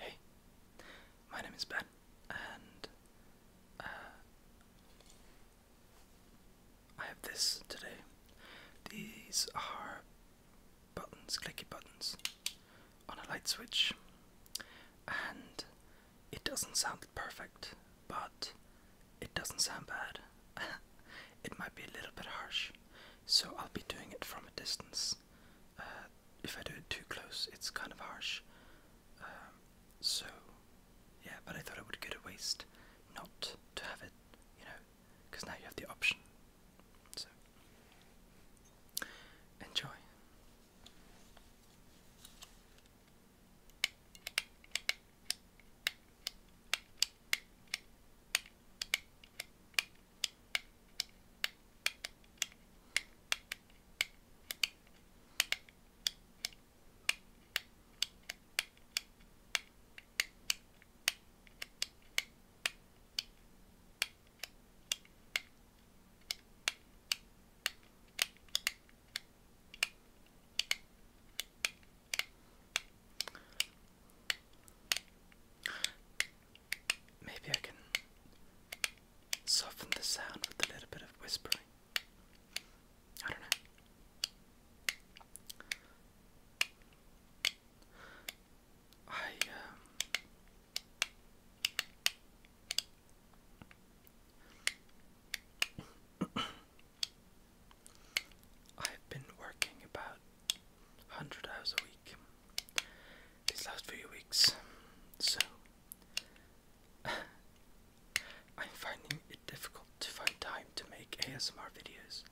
Hey, my name is Ben, and uh, I have this today. These are buttons, clicky buttons on a light switch, and it doesn't sound perfect, but it doesn't sound bad. it might be a little bit harsh, so I'll be doing it from a distance. Uh, if I do it too close, it's kind of harsh. Um, so, yeah, but I thought it would go to waste not to have it, you know, because now you have the option. So, enjoy. Maybe I can soften the sound with a little bit of whispering. I don't know. I um, I've been working about 100 hours a week these last few weeks, so I'm finding it difficult to find time to make ASMR videos,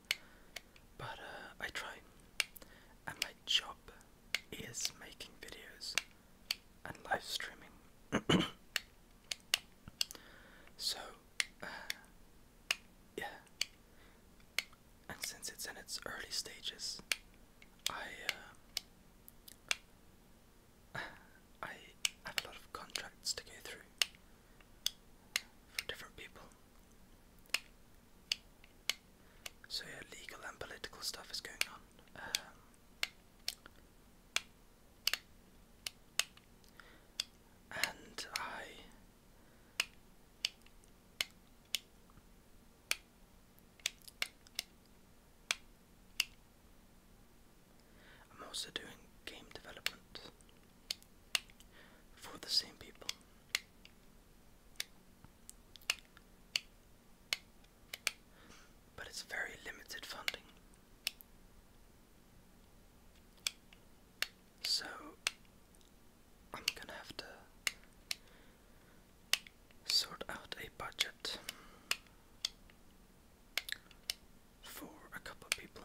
but uh, I try. And my job is making videos and live streaming. so, uh, yeah. And since it's in its early stages, I uh, I have a lot of contracts to go through for different people. So yeah, legal and political stuff is going on. Um, and I I'm also doing game development for the same people. But it's very limited funding. So I'm gonna have to sort out a budget for a couple of people.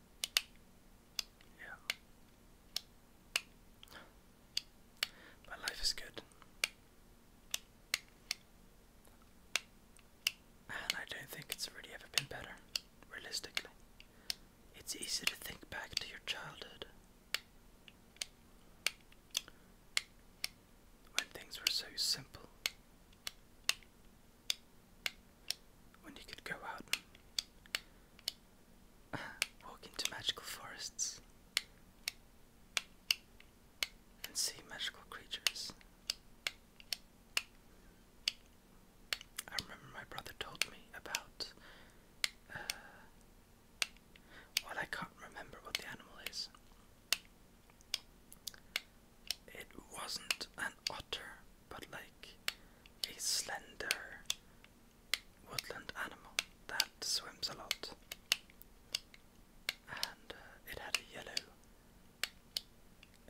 Yeah. But life is good. And I don't think it's really ever been better, realistically. It's easy to think back to your childhood when things were so simple when you could go out and walk into magical forests and see magical creatures. I remember my brother told me about. Uh, well, I can't remember what the animal is. It wasn't an otter, but like a slender woodland animal that swims a lot. And uh, it had a yellow,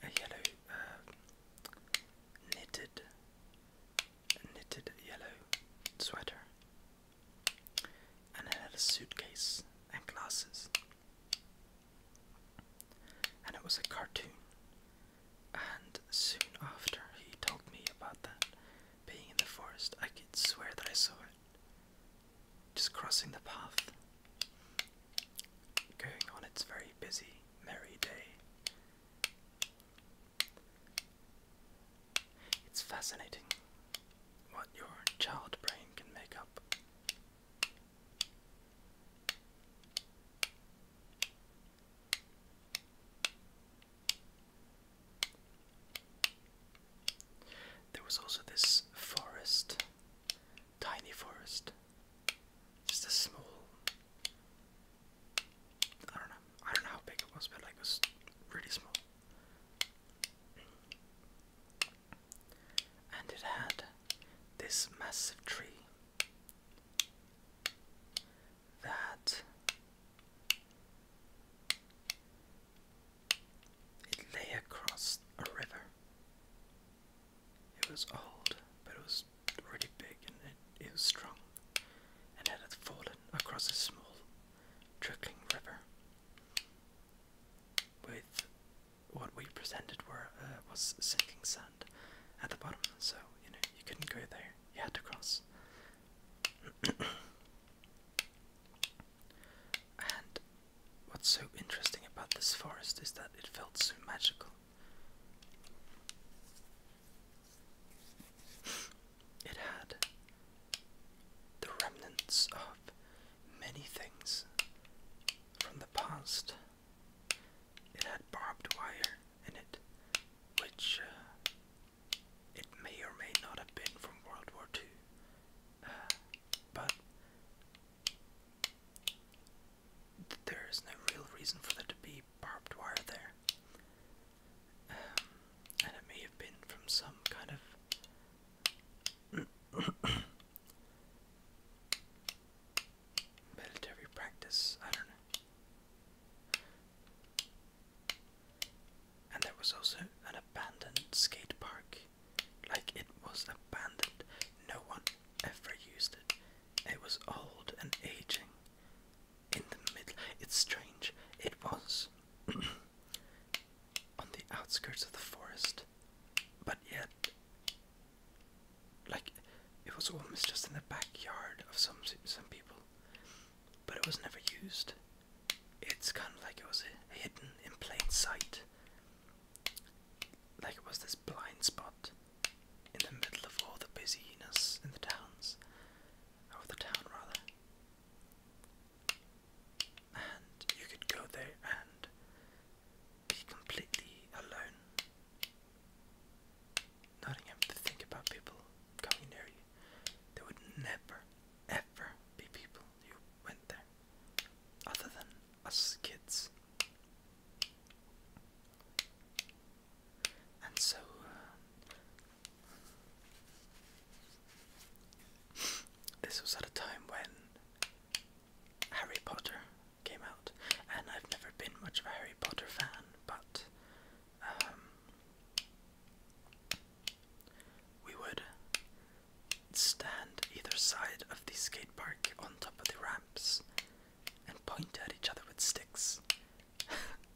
a yellow uh, knitted, knitted yellow sweater. And it had a suitcase and glasses and it was a cartoon. And soon after he told me about that being in the forest, I could swear that I saw it just crossing the path, going on its very busy, merry day. It's fascinating what your child brain can make up. There was also this forest, tiny forest, just a small. I don't know. I don't know how big it was, but like it was really small. And it had this massive tree that it lay across a river. It was old, but it was really big and it, it was strong, and it had fallen across a small, trickling river with what we presented were uh, was sinking sand at the bottom, so you know you couldn't go there. You had to cross. and what's so interesting about this forest is that it felt so magical. It had the remnants of many things from the past it had barbed wire in it, which uh, it may or may not have been from World War II. Uh, but there is no real reason for there to be barbed wire there. Um, and it may have been from some kind of military practice. I don't know. And there was also an abandoned skate park. Like it was abandoned. No one ever used it. It was old and aging. In the middle. It's strange. It was on the outskirts of the forest, but yet like it was almost just in the backyard of some some people, but it was never used. It's kind of like it was hidden in plain sight, like it was this blind spot in the middle of all the busyness in the towns, or the town rather. And you could go there and be completely alone. Nottingham to think about people coming near you. There would never, ever be people who went there, other than us kids. And so, uh, this was at a time when Harry Potter came out, and I've never been much of a Harry Potter fan, but um, we would stand either side of the skate park on top of the ramps and point at each other with sticks,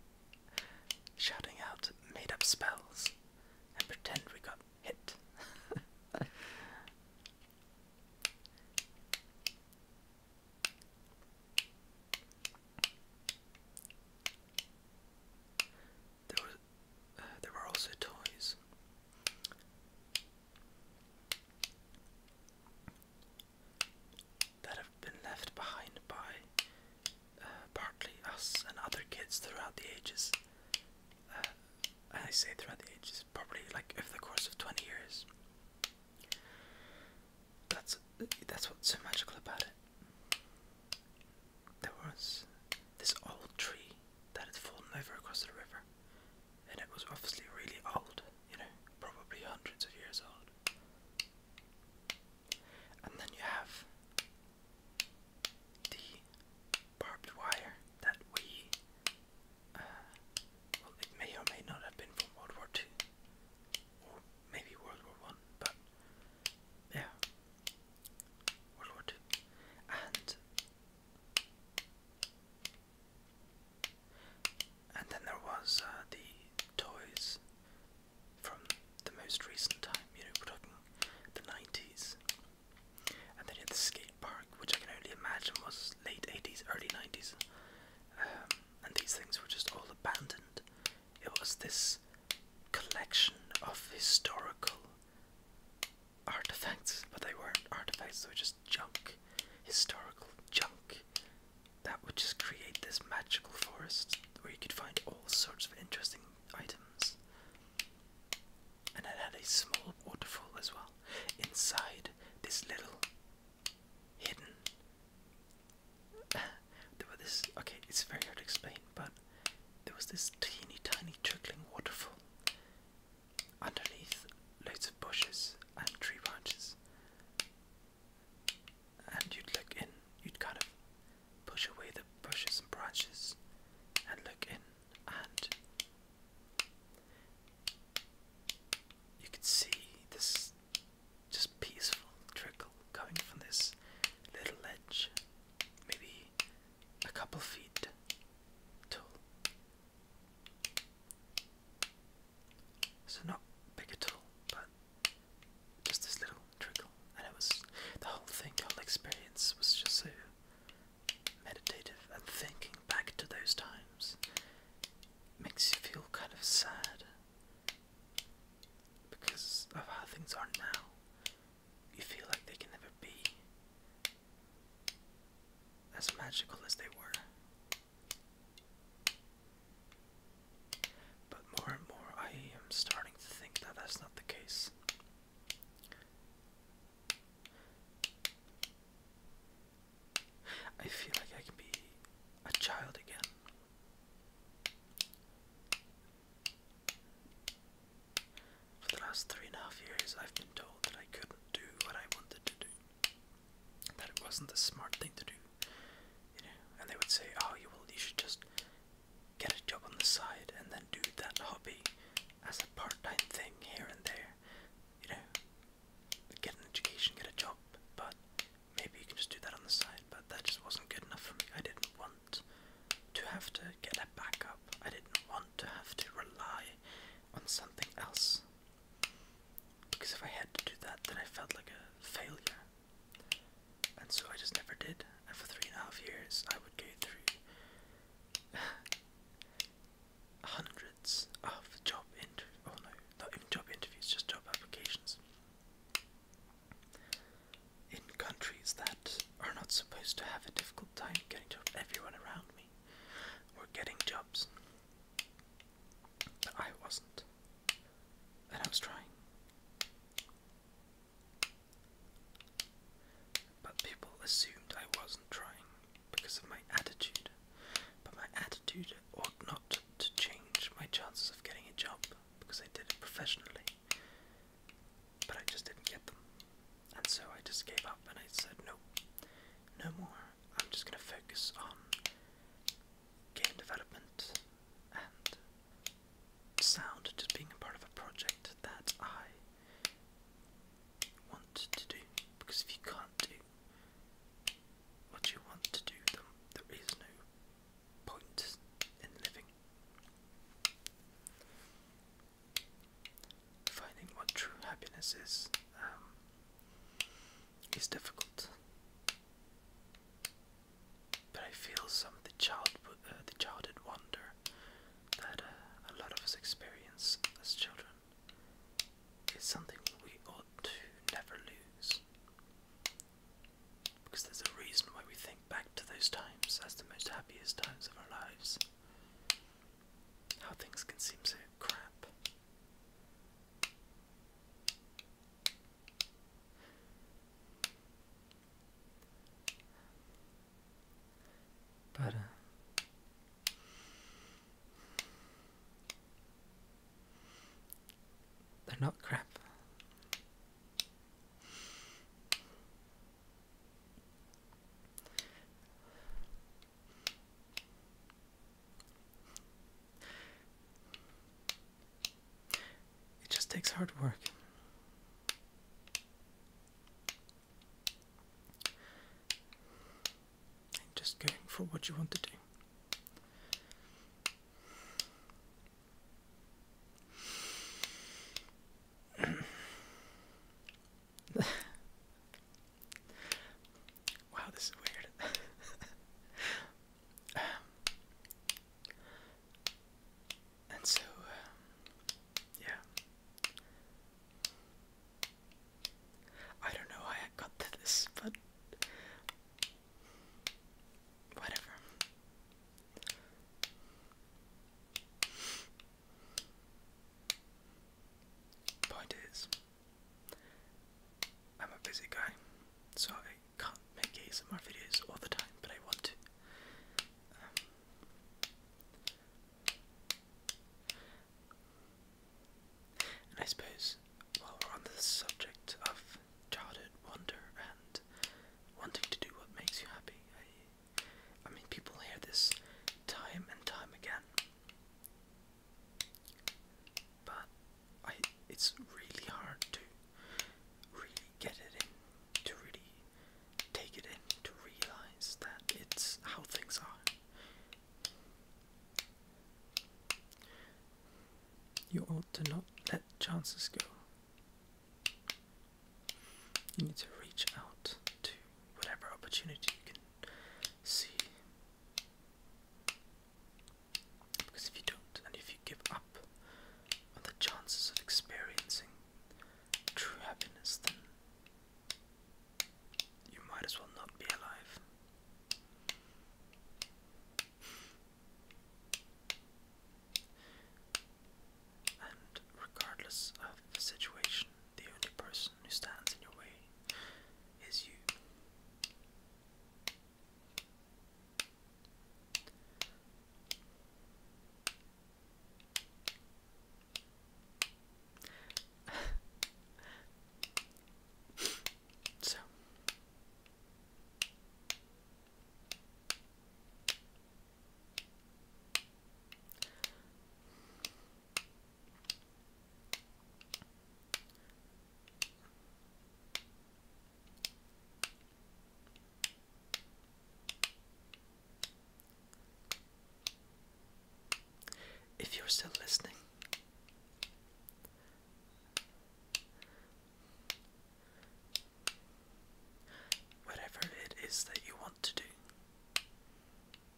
shouting out made up spells and pretend we got hit. There was, uh, there were also toys. That have been left behind by uh, partly us and other kids throughout the ages. Uh, I say throughout the ages, probably like over the course of 20 years. That's that's what's so magical about it. There was this old tree that had fallen over across the river, and it was obviously really old, you know, probably hundreds of years old. And then you have the barbed wire that we it may or may not have been from World War Two, or maybe World War One, but yeah, World War Two, and and then there was uh, the toys from the most recent time. You know, we're talking the nineties. And then you the skate park, which I can only imagine was late 80s, early 90s and these things were just all abandoned. It was this collection of historical artifacts, but they weren't artifacts, they were just junk, historical junk that would just create this magical forest where you could find all sorts of interesting items. And it had a small waterfall as well. Inside this little hidden. there were this okay, it's very hard to explain, but there was this teeny tiny trickling waterfall underneath loads of bushes and tree branches. And you'd look in, you'd kind of push away the bushes and branches and look in and you can see this just peaceful trickle coming from this little ledge, maybe a couple feet tall. So not big at all, but just this little trickle, and it was the whole thing, whole experience was just so meditative and thinking back to those times makes you feel kind of sad because of how things are now, you feel like they can never be as magical as they were. But more and more, I am starting to think that that's not the case. I feel like I can be a child again. For the last three and a half years, I've been told that I couldn't do what I wanted to do, that it wasn't the smart thing to do, you know. And they would say, "Oh, you will, you should just get a job on the side and then do that hobby as a part-time thing here and there, you know, get an education, get a job, but maybe you can just do that on the side. But that just wasn't good enough for me. I didn't want to have to get a backup. I didn't want to have to rely on something else. Because if I had to do that, then I felt like a failure. And so I just never did. And for three and a half years, I would go through hundreds of job interviews. Oh no, not even job interviews, just job applications. In countries that are not supposed to have a difficult time getting jobs, everyone around me were getting jobs. But I wasn't. And I was trying. But people assumed I wasn't trying because of my attitude. But my attitude ought not to change my chances of getting a job because I did it professionally. But I just didn't get them. And so I just gave up and I said, no, no more. I'm just going to focus on game development and sound, just being a part of a project that I want to do. Because if you can't do what you want to do There is no point in living. Finding what true happiness is um, is difficult, but I feel some of the child, uh, the childhood wonder that uh, a lot of us experience as children is something we ought to never lose. Because there's a reason why we think back to those times as the most happiest times of our lives. How things can seem so crap. But, uh, they're not crap. It just takes hard work. And just going for what you want to do. wow, this is weird. Um, and so, um, yeah. I don't know why I got to this, but Whatever. Point is, I'm a busy guy, so I can't make more videos all the time, but I want to. Um, I suppose while we're on the subject of childhood wonder and wanting to do what makes you happy, I, I mean, people hear this time and time again. But I, it's really hard to really get it in, to really take it in, to realize that it's how things are. You ought to not let chances go. You need to reach out to whatever opportunity you can see. Because if you don't, and if you give up on the chances of experiencing true happiness, then you might as well not be alive. And regardless of the situation, the only person who stands in your way is you. so, if you're still listening, Whatever it is that you want to do,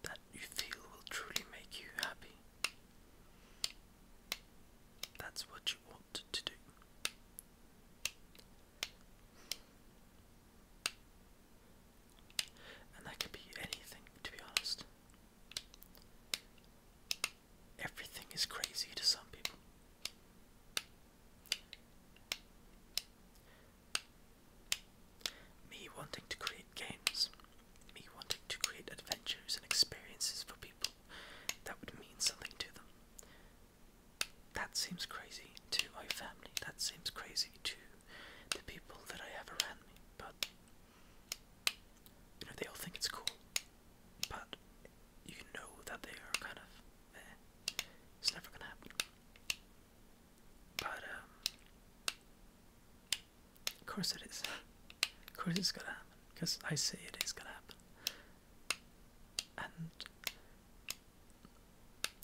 that you feel will truly make you happy. That's what you want to do. And that could be anything, to be honest everything is crazy to some people. Me wanting to create games, me wanting to create adventures and experiences for people that would mean something to them. That seems crazy to my family, that seems crazy to the people that I have around me, but they all think it's cool but you know that they are kind of eh, it's never gonna happen. But um, of course it is. Of course it's gonna happen. Because I say it is gonna happen. And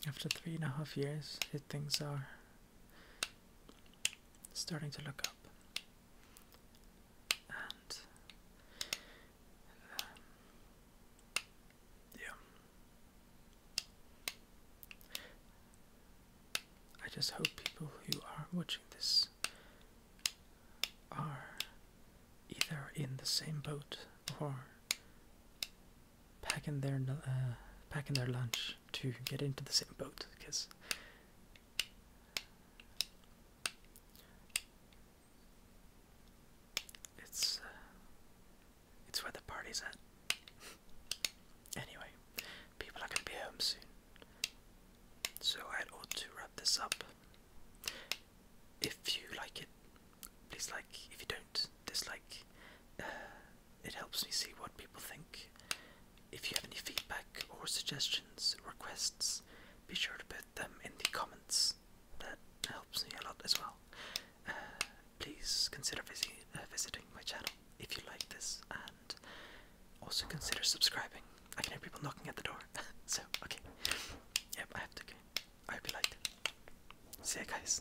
after three and a half years things are starting to look up. Um, yeah. I just hope people who are watching this are either in the same boat or packing their uh, packing their lunch to get into the same boat because it's uh, it's where the party's at. Anyway, people are gonna be home soon, so I ought to wrap this up. If you like it, please like. If you don't, dislike. Uh, it helps me see what people think. If you have any feedback or suggestions, requests, be sure to put them in the comments that helps me a lot as well. Uh, please consider uh, visiting my channel if you like this, and also consider subscribing. I can hear people knocking at the door. so okay, yep, I have to. Okay. I hope you liked See you guys.